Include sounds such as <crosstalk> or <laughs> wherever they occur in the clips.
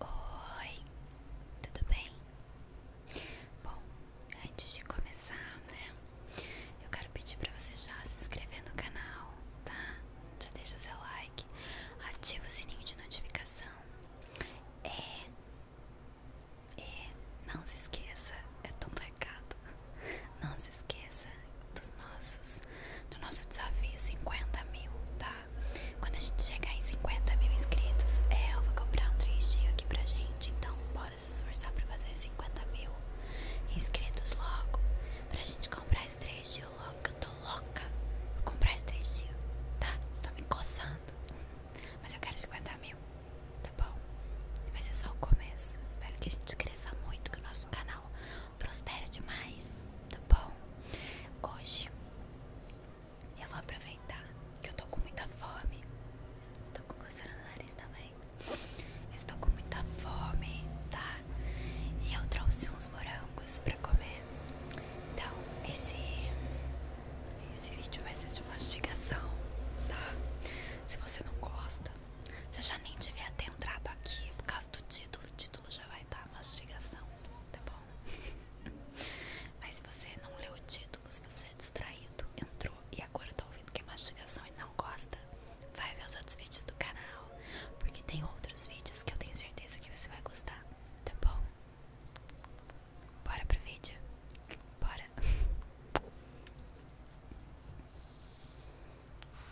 Oi, tudo bem? Bom, antes de começar, né? Eu quero pedir para você já se inscrever no canal, tá? Já deixa seu like, ativa o sininho de notificação. É, é, não se esqueça, é tão recado. Não se esqueça dos nossos, do nosso desafio 50 mil, tá? Quando a gente chegar em 50 mil inscritos, é, eu vou comprar um D aqui pra gente. Então, bora se esforçar pra fazer 50 mil inscritos logo. Pra gente comprar esse trechinho logo, Louca, eu tô louca. Vou comprar esse D. tá? Tô me coçando. Mas eu quero 50 mil, tá bom? Vai ser só o começo. Espero que a gente cresça muito, que o nosso canal prospere demais, tá bom? Hoje eu vou aproveitar que eu tô com muita fome. Tô com coceira no nariz também. Eu estou com muita fome, tá? E eu trouxe uns morangos pra comer. Então, esse esse vídeo vai ser de mastigação, tá? Se você não gosta, você já nem devia ter entrado aqui por causa do título de já vai estar mastigação, tá bom? <laughs> Mas se você não leu o título, se você é distraído, entrou e agora tá ouvindo que é mastigação e não gosta, vai ver os outros vídeos do canal, porque tem outros vídeos que eu tenho certeza que você vai gostar, tá bom? Bora pro vídeo? Bora! <laughs>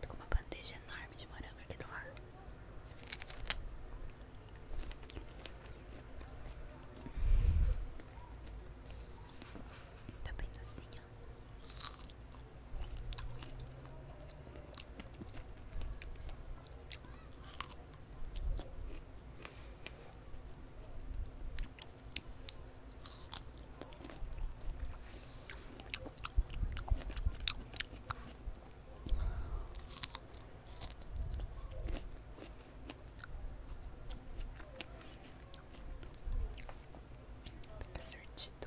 Tô com uma bandeja enorme de morango aqui do ar. Tá bem docinho. É sortido.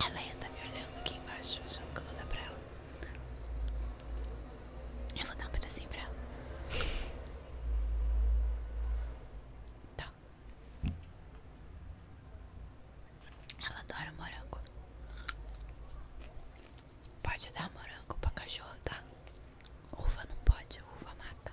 Ela ainda tá me olhando aqui embaixo, achando que eu vou dar pra ela. Eu vou dar um pedacinho pra ela. Tá. Ela adora morango. Pode dar morango pra cachorro, tá? Uva não pode, uva mata.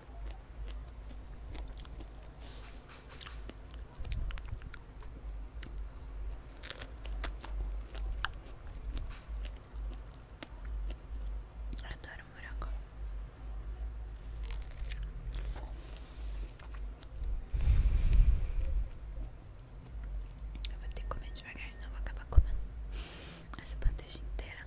Adoro morango. Eu vou ter que comer devagar, senão vou acabar comendo essa bandeja inteira.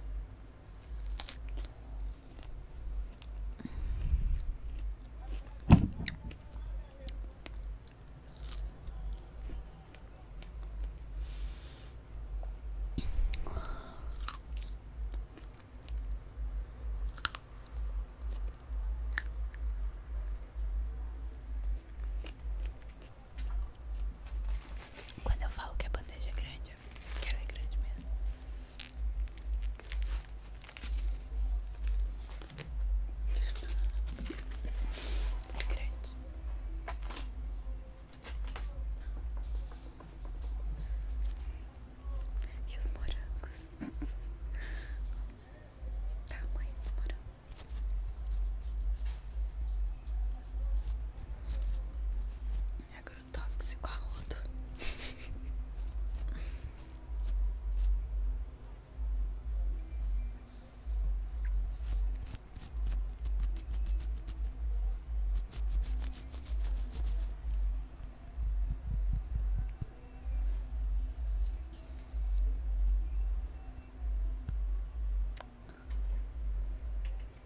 Quando eu falo que a bandeja é grande, ela é grande mesmo grande. E os morangos? <laughs> Tamanho dos morangos. Agora tóxico a rodo.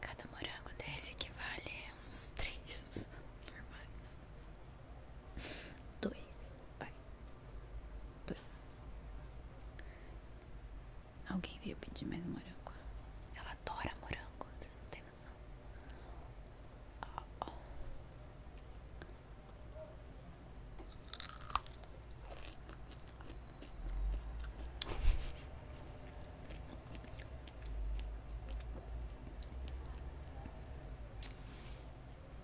Cada morango desse equivale a uns três normais. Dois. Vai. Dois. Alguém veio pedir mais morango. Ela adora morango. Vocês não tem noção. Ah,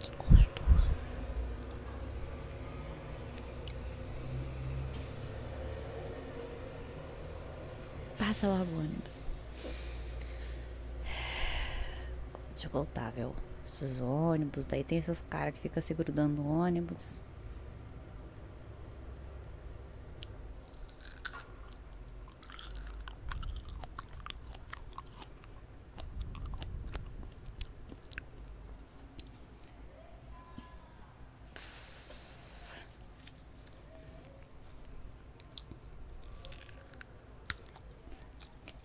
Que gostoso. Passa logo ônibus. Deixa voltar, viu? esses ônibus, daí tem esses caras que ficam segurando ônibus.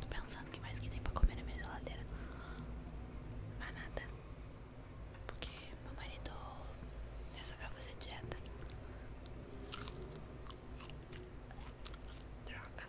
Tô pensando o que mais que tem pra comer na minha geladeira. Mas nada. Porque meu marido resolveu fazer dieta. Droga.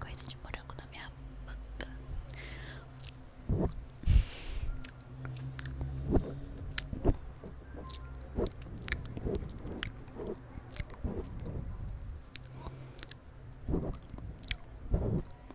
Coisa de morango na minha boca.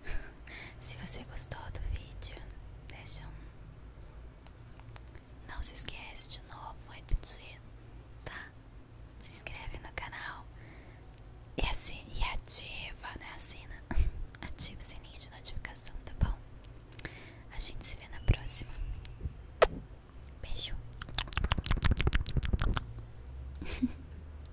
<laughs> Se você gostou do vídeo, deixa um. Não se esquece de novo, vou repetir, tá? Se inscreve no canal e, assim, e ativa, né? Assina. <laughs> Ativa o sininho de notificação, tá bom? A gente se vê na próxima. Beijo. <laughs>